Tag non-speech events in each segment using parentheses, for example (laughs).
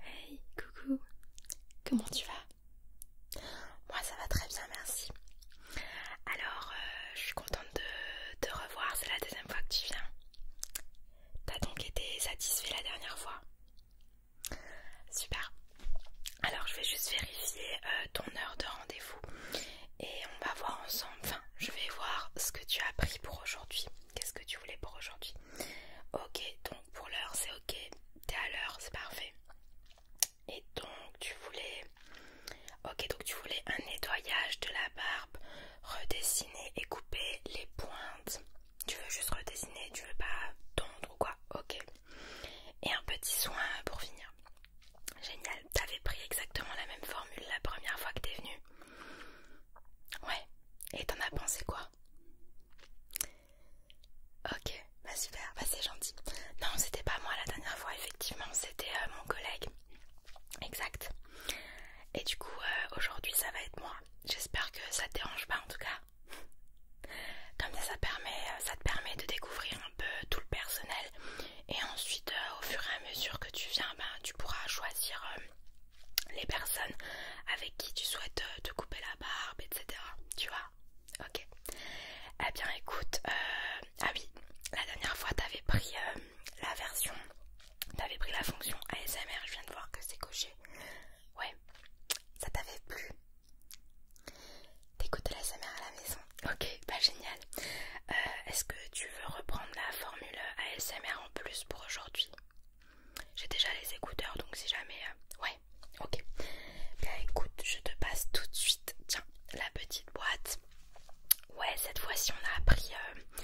Hey, coucou, comment tu vas Moi ça va très bien, merci. Alors, euh, je suis contente de te revoir, c'est la deuxième fois que tu viens. T'as donc été satisfait la dernière fois Super. Alors, je vais juste vérifier euh, ton heure de rendez-vous et on va voir ensemble, enfin je vais voir ce que tu as pris pour aujourd'hui, qu'est-ce que tu voulais pour aujourd'hui. Ok, donc pour l'heure c'est ok, t'es à l'heure, c'est parfait. Et donc tu voulais... Ok, donc tu voulais un nettoyage de la barbe, redessiner et couper les pointes. Tu veux juste redessiner, tu veux pas tondre ou quoi Ok. Et un petit soin pour finir. Génial t'avais pris exactement la même formule la première fois que t'es venu. Ouais, et t'en as pensé quoi Ok, bah super, bah c'est gentil. Non, c'était pas moi la dernière fois, effectivement, c'était euh, mon collègue. Exact. Et du coup, euh, aujourd'hui, ça va être moi. J'espère que ça te dérange pas en tout cas. Comme ça, ça, permet, euh, ça te permet de découvrir un peu tout le personnel et ensuite, euh, au fur et à mesure que tu viens, ben, tu pourras choisir euh, les personnes avec qui tu souhaites euh, te couper la barbe, etc. Tu vois Ok. Eh bien, écoute, ah oui, la dernière fois, t'avais pris la version, t'avais pris la fonction ASMR. Je viens de voir que c'est coché. Ouais, ça t'avait plu. T'écoutes l'ASMR à la maison. Ok, bah génial. Euh, est-ce que tu veux reprendre la formule ASMR en plus pour aujourd'hui J'ai déjà les écouteurs donc si jamais... Euh, ouais, ok. Bien écoute, je te passe tout de suite, tiens, la petite boîte. Ouais, cette fois-ci on a appris euh,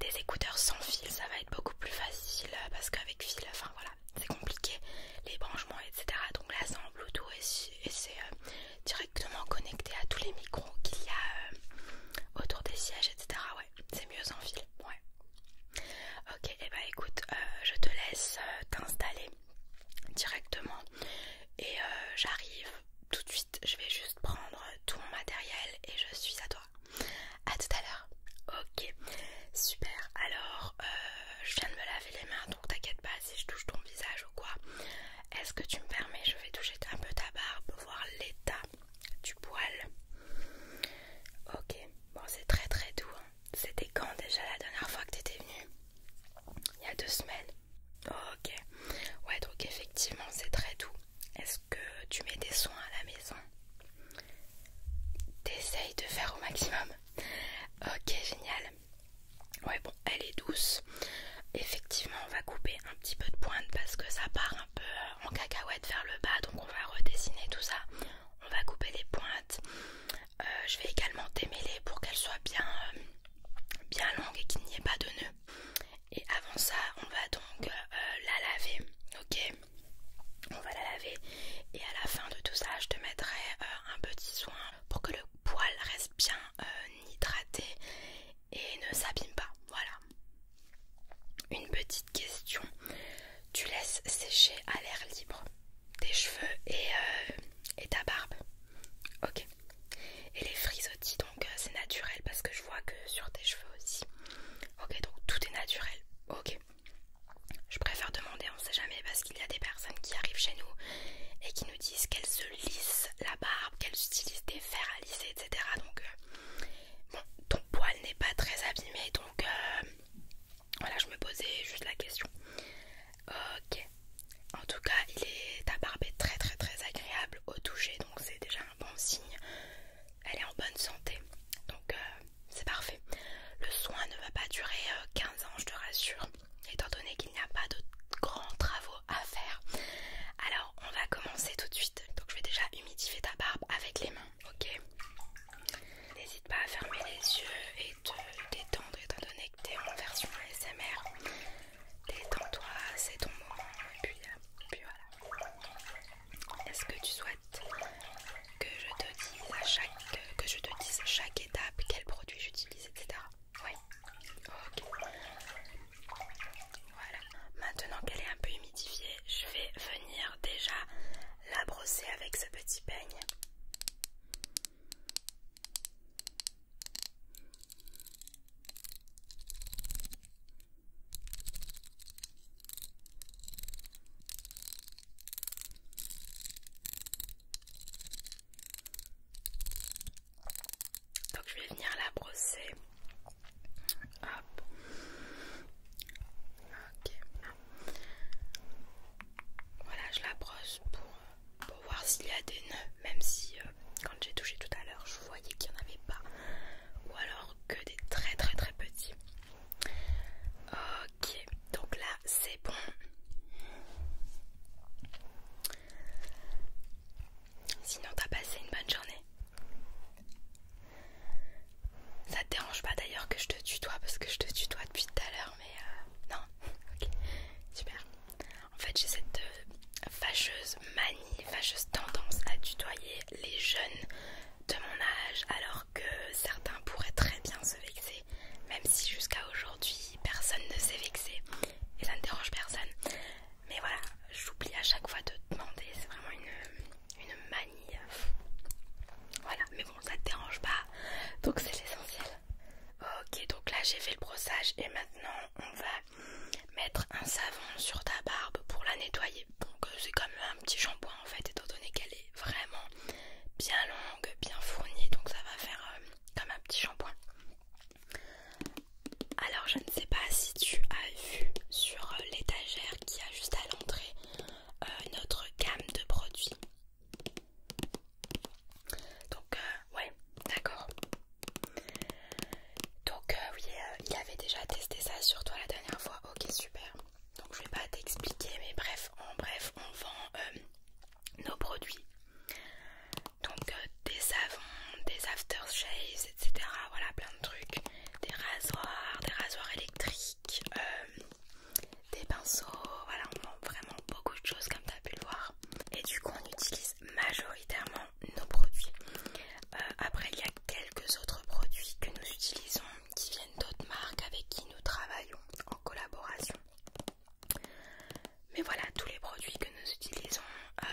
des écouteurs sans fil, ça va être beaucoup plus facile parce qu'avec fil, enfin voilà, c'est compliqué, les branchements, etc. Donc là c'est en et, c'est directement connecté à tous les micros qu'il y a euh, autour des sièges, etc. Ouais, c'est mieux sans fil. Ouais. Ok, et eh bah ben, écoute, euh, je te laisse euh, t'installer directement et j'arrive tout de suite. Je vais juste prendre tout mon matériel et je suis à toi. À tout à l'heure. Ok, super. Alors, je viens de me laver les mains, donc t'inquiète pas si je touche ton visage ou quoi. Est-ce que tu me permets Je vais toucher un peu ta barbe, voir l'état du poil. Ok, bon c'est très très doux. Hein. C'était quand déjà la dernière fois que tu étais venue Il y a deux semaines. Ok, ouais donc effectivement c'est très doux. Est-ce que tu mets des soins à la maison T'essayes de faire au maximum. Ok, génial elle est douce. Effectivement, on va couper un petit peu de pointe parce que ça part un peu euh, en cacahuète vers le bas. Donc on va redessiner tout ça. On va couper les pointes. Euh, je vais également démêler pour qu'elle soit euh, bien, longue et qu'il n'y ait pas de nœuds Et avant ça, on va donc la laver. Ok on va la laver et à la fin de tout ça je te mettrai un petit soin pour que le poil reste bien euh, hydraté et ne s'abîme pas. Voilà. Une petite question. Tu laisses sécher à l'air libre tes cheveux et, euh, et ta barbe. Ok. Et les frisottis, donc euh, c'est naturel parce que je vois que sur tes cheveux aussi. Ok, donc tout est naturel. Ok. Je préfère demander, on ne sait jamais, parce qu'il y a des personnes qui arrivent chez nous et qui nous disent qu'elles se lissent la barbe, qu'elles utilisent des fers à lisser, etc. Donc, euh, bon, ton poil n'est pas très abîmé, donc euh, voilà, je me posais juste la question. Ok, en tout cas, il est, ta barbe est très très très agréable au toucher, donc c'est déjà un bon signe. Elle est en bonne santé, donc euh, c'est parfait. Le soin ne va pas durer 15 ans, je te rassure, étant donné qu'il n'y a pas de grands travaux à faire. Alors on va commencer tout de suite. Donc je vais déjà humidifier ta barbe avec les mains, ok N'hésite pas à fermer les yeux et te détendre étant donné que t'es en version ASMR. Détends-toi, c'est ton moment et euh, puis, voilà. Est-ce que tu souhaites que je te dise à chaque que je te dise chaque étape quel produit j'utilise, etc. Oui. Ok. Voilà. Maintenant qu'elle est un peu humidifiée, je vais venir déjà la brosser avec ce petit peigne. Donc je vais venir la brosser. Hop. Ok. Voilà, je la brosse pour, voir s'il y a des nœuds, même si euh, quand j'ai touché tout à l'heure, je voyais qu'il n'y en avait pas. Ou alors que des très très très petits. Ok, donc là c'est bon. Sinon t'as passé une bonne journée. Ça te dérange pas d'ailleurs que je te tutoie parce que je te tutoie depuis tout à l'heure mais euh, non (laughs) ok super en fait j'ai cette euh, fâcheuse manie fâcheuse tendance à tutoyer les jeunes de mon âge alors que certains pourraient très bien se vexer même si jusqu'à aujourd'hui personne ne s'est vexé et ça ne dérange personne mais voilà, j'oublie à chaque fois de demander, c'est vraiment une, une manie. Voilà, mais bon, ça te dérange pas, donc c'est l'essentiel. Ok, donc là j'ai fait le brossage et maintenant on va mettre un savon sur ta barbe pour la nettoyer. Donc euh, c'est comme un petit shampoing en fait, étant donné qu'elle est vraiment bien longue, bien fournie, donc ça va faire euh, comme un petit shampoing. Alors je ne sais pas si tu as vu sur euh, l'étagère qui a juste à l'entrée euh, notre gamme de produits. Donc euh, ouais, d'accord. Donc oui, il avait déjà testé ça sur toi la dernière fois. Ok, super. Donc je vais pas t'expliquer, mais bref, en bref, on vend nos produits donc euh, des savons, des aftershaves, etc. Voilà plein de trucs, des rasoirs, des rasoirs électriques, euh, des pinceaux, voilà on vend vraiment beaucoup de choses comme tu as pu le voir. Et du coup on utilise majoritairement nos produits. Euh, après il y a quelques autres produits que nous utilisons qui viennent d'autres marques avec qui nous travaillons en collaboration. Mais voilà, tous les produits que nous utilisons, euh,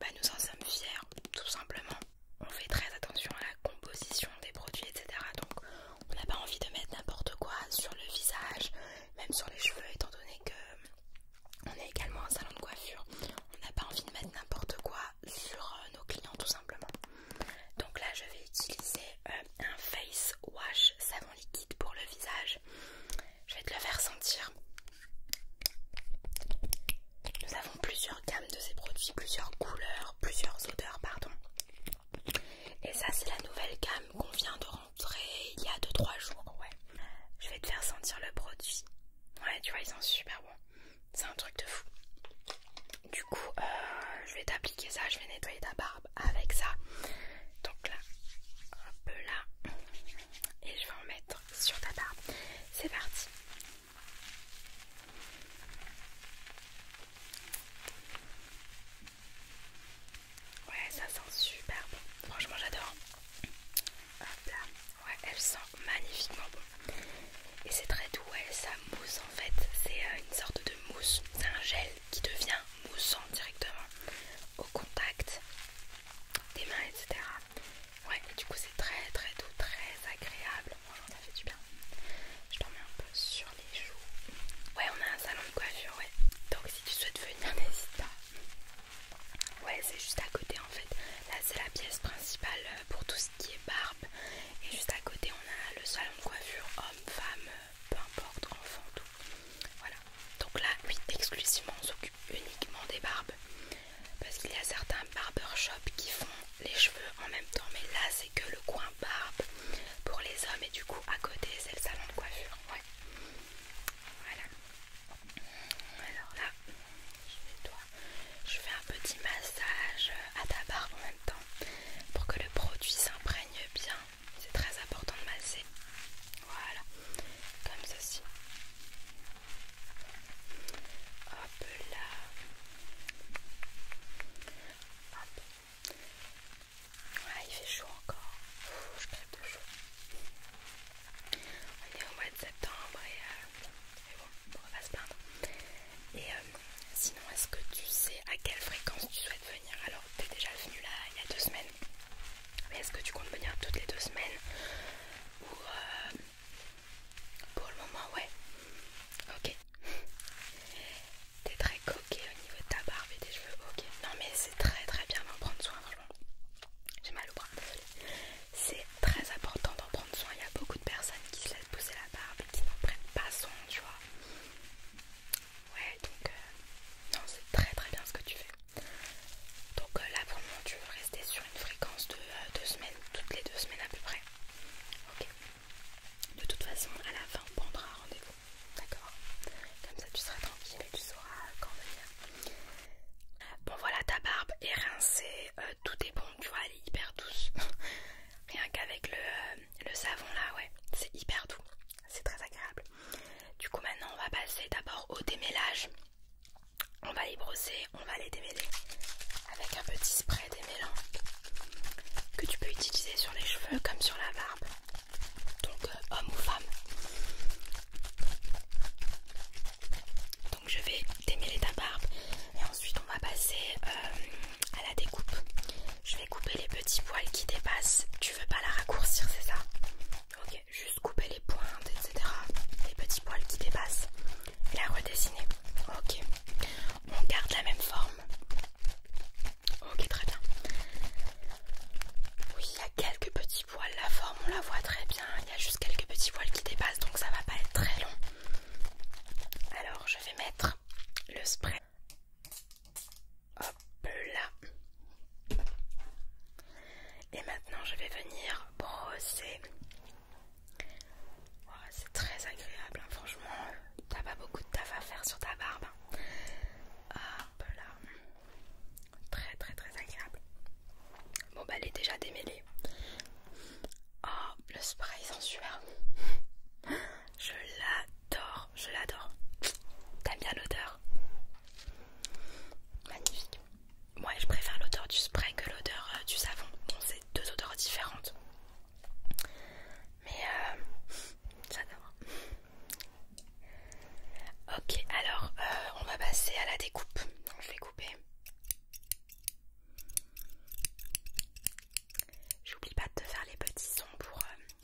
bah, nous en sommes fiers, tout simplement. On fait très attention à la composition des produits, etc. Donc on n'a pas envie de mettre n'importe quoi sur le visage, même sur les cheveux, étant donné que euh, on est également un salon de coiffure. On n'a pas envie de mettre n'importe quoi sur euh, nos clients, tout simplement. Donc là, je vais utiliser un face wash savon liquide pour le visage je vais te le faire sentir. Nous avons plusieurs gammes de ces produits, plusieurs couleurs, plusieurs odeurs, pardon. Et ça, c'est la nouvelle gamme qu'on vient de rentrer il y a 2-3 jours, ouais. Je vais te faire sentir le produit. Ouais, tu vois, ils sont super bons. C'est un truc de fou. Du coup, euh, je vais t'appliquer ça, je vais nettoyer ta barre avec ça. Donc là, un peu là. Et je vais en mettre sur ta barbe. C'est parti. Ouais, ça sent super bon. Franchement, j'adore. Hop là. Ouais, elle sent magnifiquement bon. Et c'est très doux, elle. ça mousse en fait. C'est euh, une sorte de mousse. C'est un gel qui devient moussant directement au contact des mains, etc. Ouais, et du coup c'est très très doux, très agréable. j'en oh ça fait du bien. Je t'en mets un peu sur les joues. Ouais, on a un salon de coiffure, ouais. Donc si tu souhaites venir, (laughs) n'hésite pas. Ouais, c'est juste à côté en fait. Là, c'est la pièce principale euh, pour tout ce qui est barbe. Et juste à côté, on a le salon de coiffure homme, femme, euh, peu importe, enfant, tout. Voilà. Donc là, oui, exclusivement, on s'occupe uniquement des barbes. Parce qu'il y a certains barbershops qui font les cheveux en même temps. Mais là, c'est que le coin barbe pour les hommes. Et du coup, à côté, c'est le salon de coiffure. Ouais. Voilà. Alors là, Je fais un petit massage à ta barbe en même temps. Pour que le produit s'imprègne bien c'est très important de masser. Voilà, comme ceci. Hop là. Hop. Ah, il fait chaud encore. je crève de chaud. On est au mois de septembre et, euh, bon, on va se plaindre. Et euh, sinon, est-ce que tu sais à quelle fréquence tu souhaites venir Alors, t'es déjà venu là il y a deux semaines est-ce que tu comptes venir toutes les deux semaines Ou euh, pour le moment ouais. Ok. T'es très coquet au niveau de ta barbe et des cheveux. Ok. Non mais c'est très très bien d'en prendre soin vraiment. J'ai mal au bras, C'est très important d'en prendre soin. Il y a beaucoup de personnes qui se laissent pousser la barbe et qui n'en prennent pas soin, tu vois. Ouais, donc euh, non, c'est très très bien ce que tu fais. Donc euh, là pour le tu veux rester sur une fréquence de euh, deux semaines, toutes les deux semaines à peu près. Ok. De toute façon, à la fin, on prendra rendez-vous. D'accord Comme ça, tu seras tranquille et tu sauras quand venir. Bon, voilà, ta barbe est rincée, tout est bon, tu vois, elle est hyper douce. (laughs) Rien qu'avec le, le savon là, ouais, c'est hyper doux c'est très agréable. Du coup maintenant on va passer d'abord au démêlage. On va les brosser, on va les démêler avec un petit spray démêlant que tu peux utiliser sur les cheveux comme sur la barbe. Donc euh, homme ou femme. Donc je vais démêler ta barbe et ensuite on va passer euh, à la découpe. Je vais couper les petits poils qui dépassent. Tu veux pas la raccourcir, c'est ça Ok, juste couper les pointes, etc. Les petits poils qui dépassent. Et la redessiner. Ok. On garde la même forme. Ok, très bien. Oui, il y a quelques petits poils. La forme, on la voit très bien. Il y a juste quelques petits poils qui dépassent, donc ça va pas être très long. Alors, je vais mettre le spray. Hop là. Et maintenant, je vais venir brosser. C'est très agréable, hein, franchement. T'as pas beaucoup de taf à faire sur ta barbe. Hein. Hop là. Très, très, très agréable. Bon, bah, elle est déjà démêlée. Oh, le spray sensuel. Je l'adore, je l'adore. T'aimes bien l'odeur Magnifique. Moi, je préfère l'odeur du spray que l'odeur euh, du savon. donc c'est deux odeurs différentes. Mais euh, j'adore. Ok, alors euh, on va passer à la découpe. Donc, je vais couper. J'oublie pas de te faire les petits sons pour,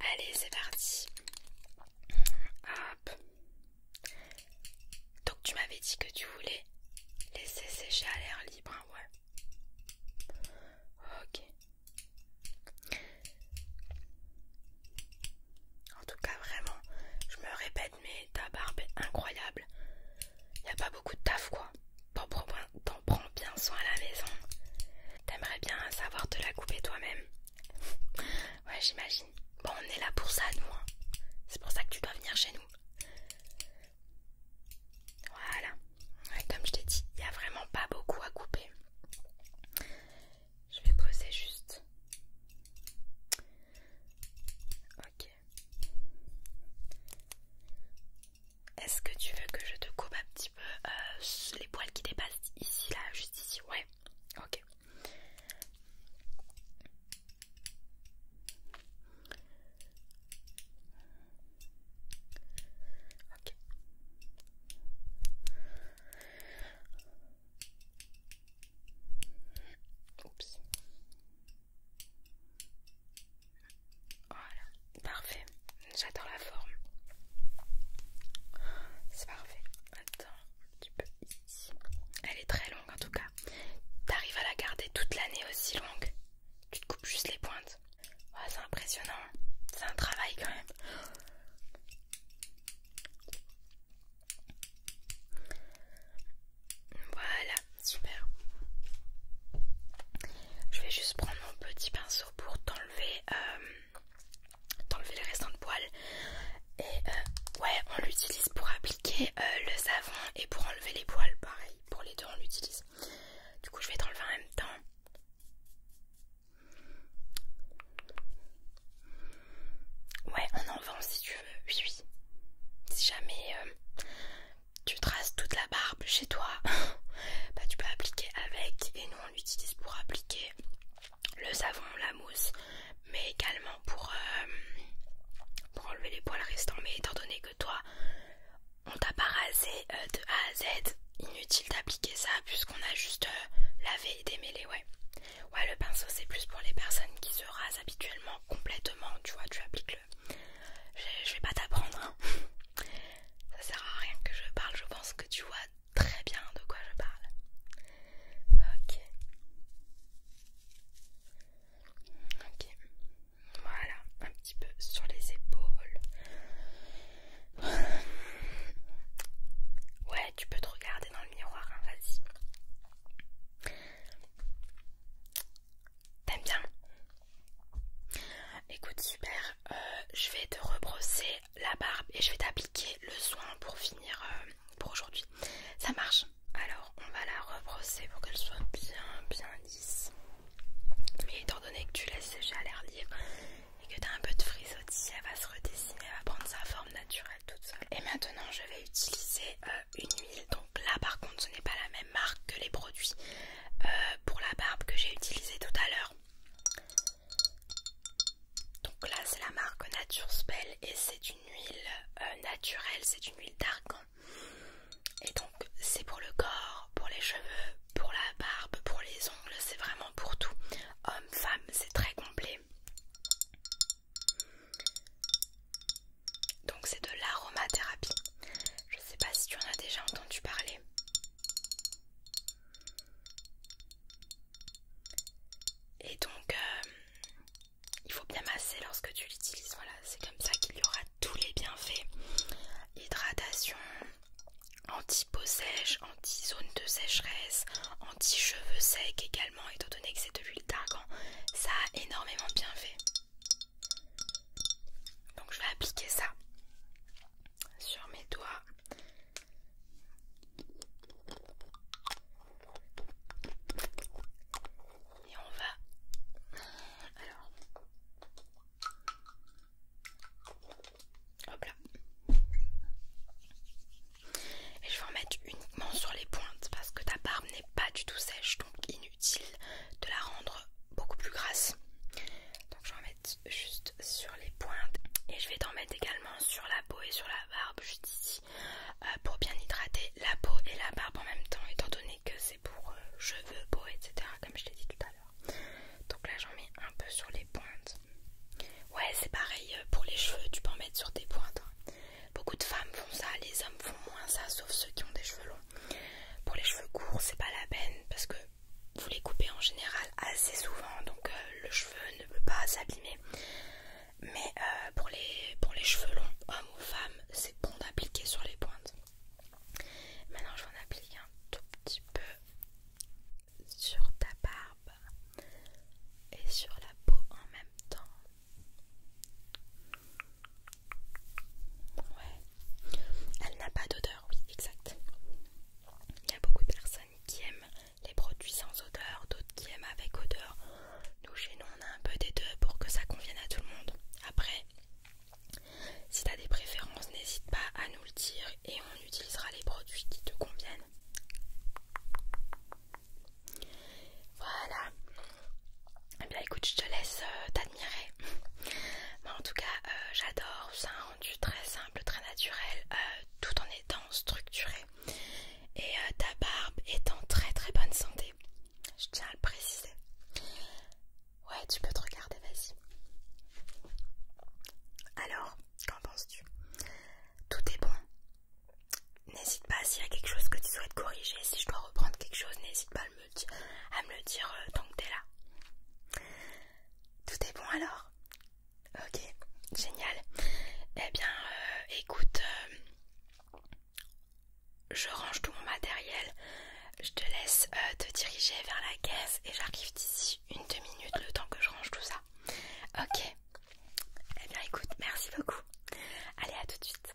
Allez, c'est parti. Hop. Donc tu m'avais dit que tu voulais laisser sécher à l'air libre, hein, ouais. Ok. En tout cas, vraiment, je me répète, mais ta barbe est incroyable. Y a pas beaucoup de taf, quoi. T'en prends bien soin à la maison. T'aimerais bien savoir te la couper toi-même ouais, j'imagine. Bon, on est là pour ça, nous. Hein. C'est pour ça que tu dois venir chez nous. Voilà. comme je t'ai dit, il n'y a vraiment pas beaucoup à couper. Je vais poser juste. Ok. Est-ce que tu veux que je te coupe un petit peu euh, les poils qui dépassent ici là ici, ouais, ok. Ok. Oups. Voilà, parfait j'adore la forme. C'est parfait. Attends, un petit peu ici. Elle est très longue en tout cas. T'arrives à la garder toute l'année aussi longue. Tu te coupes juste les pointes. Oh, c'est impressionnant. C'est un travail quand même. Voilà, super. Je vais juste prendre mon petit pinceau pour t'enlever euh, d'enlever les restants de poils. Et euh, ouais, on l'utilise pour appliquer euh, le savon et pour enlever les poils. Pareil, pour les deux, on l'utilise. Du coup, je vais t'enlever en même temps. Ouais, on en vend si tu veux. Oui, oui. Si jamais euh, tu traces toute la barbe chez toi, (laughs) bah tu peux appliquer avec et nous on l'utilise pour appliquer le savon, la mousse, mais également euh, pour, enlever les poils restants. Mais étant donné que toi, on t'a pas rasé euh, de A à Z, inutile d'appliquer ça puisqu'on a juste euh, lavé et démêlé, ouais. Ouais, le pinceau c'est plus pour les personnes qui se rasent habituellement complètement, tu vois, tu appliques le... Je, vais pas t'apprendre, hein. (laughs) ça sert à rien que je parle, je pense que tu vois très bien de quoi je parle. Ok. Ok. Voilà, un petit peu sur les épaules. Ouais, tu peux te regarder dans le miroir, hein, vas-y. T'aimes bien Écoute, super. Euh, je vais te rebrosser la barbe et je vais t'appliquer le soin pour finir euh, pour aujourd'hui. Ça marche Alors on va la rebrosser pour qu'elle soit bien bien lisse. Mais étant donné que tu laisses sécher à l'air libre et que tu as un peu de frisottis, elle va se redessiner, elle va prendre sa forme naturelle toute seule. Et maintenant je vais utiliser euh, une huile. Donc là par contre ce n'est pas la même marque que les produits euh, pour la barbe que j'ai utilisé tout à l'heure. Donc là c'est la marque Nature Spell et c'est une huile euh, naturelle, c'est une huile d'argan. Et donc c'est pour le corps, pour les cheveux, pour la barbe, pour les ongles, c'est vraiment pour tout. Homme, femme, c'est très complet. Donc c'est de l'aromathérapie. Je sais pas si tu en as déjà entendu parler. Et donc, euh, il faut bien masser lorsque tu l'utilises. Voilà, c'est comme ça qu'il y aura tous les bienfaits hydratation, anti-peau sèche, anti-zone de sécheresse, anti-cheveux secs également, étant donné que c'est de l'huile d'argan. Ça a énormément bien fait. Donc, je vais appliquer ça sur mes doigts. Et on va... Alors... Hop là. Et je vais en mettre uniquement sur les pointes parce que ta barbe n'est pas du tout sèche, donc inutile de la rendre beaucoup plus grasse. Donc je vais en mettre juste sur les pointes et je vais t'en mettre également sur la peau et sur la barbe juste ici euh, pour bien hydrater la peau et la barbe en même temps étant donné que c'est pour euh, cheveux, peau etc comme je l'ai dit tout à l'heure donc là j'en mets un peu sur les pointes ouais c'est pareil euh, pour les cheveux tu peux en mettre sur tes pointes hein. beaucoup de femmes font ça les hommes font moins ça sauf ceux qui ont des cheveux longs pour les cheveux courts c'est pas la peine parce que vous les coupez en général assez souvent donc euh, le cheveu ne peut pas s'abîmer mais euh, pour, les, pour les cheveux longs hommes ou femmes c'est bon d'appliquer sur les pointes maintenant je vais en appliquer un tout petit peu sur ta barbe et sur la peau en même temps ouais elle n'a pas d'odeur oui exact il y a beaucoup de personnes qui aiment les produits sans odeur, d'autres qui aiment avec odeur. Nous, chez nous, on a un peu des deux pour que ça convienne à tout le monde. Après, si tu as des préférences, n'hésite pas à nous le dire et on utilisera les produits qui te conviennent. Voilà. Eh bien écoute, je te laisse euh, t'admirer. (laughs) Mais en tout cas, euh, j'adore. C'est très simple, très naturel, euh, tout en étant structuré. Et euh, ta barbe est en très très bonne santé. Je tiens à le préciser. Ouais, tu peux te regarder, vas-y. Alors, qu'en penses-tu Tout est bon. N'hésite pas s'il y a quelque chose que tu souhaites corriger. Si je dois reprendre quelque chose, n'hésite pas à me, le dire euh, tant que t'es là. Tout est bon alors Ok, génial. Eh bien, euh, écoute, euh, je range tout mon matériel. Je te laisse euh, te diriger vers la caisse et j'arrive d'ici une deux minutes le temps que je range tout ça. Ok. Eh bien, écoute, merci beaucoup. Allez, à tout de suite.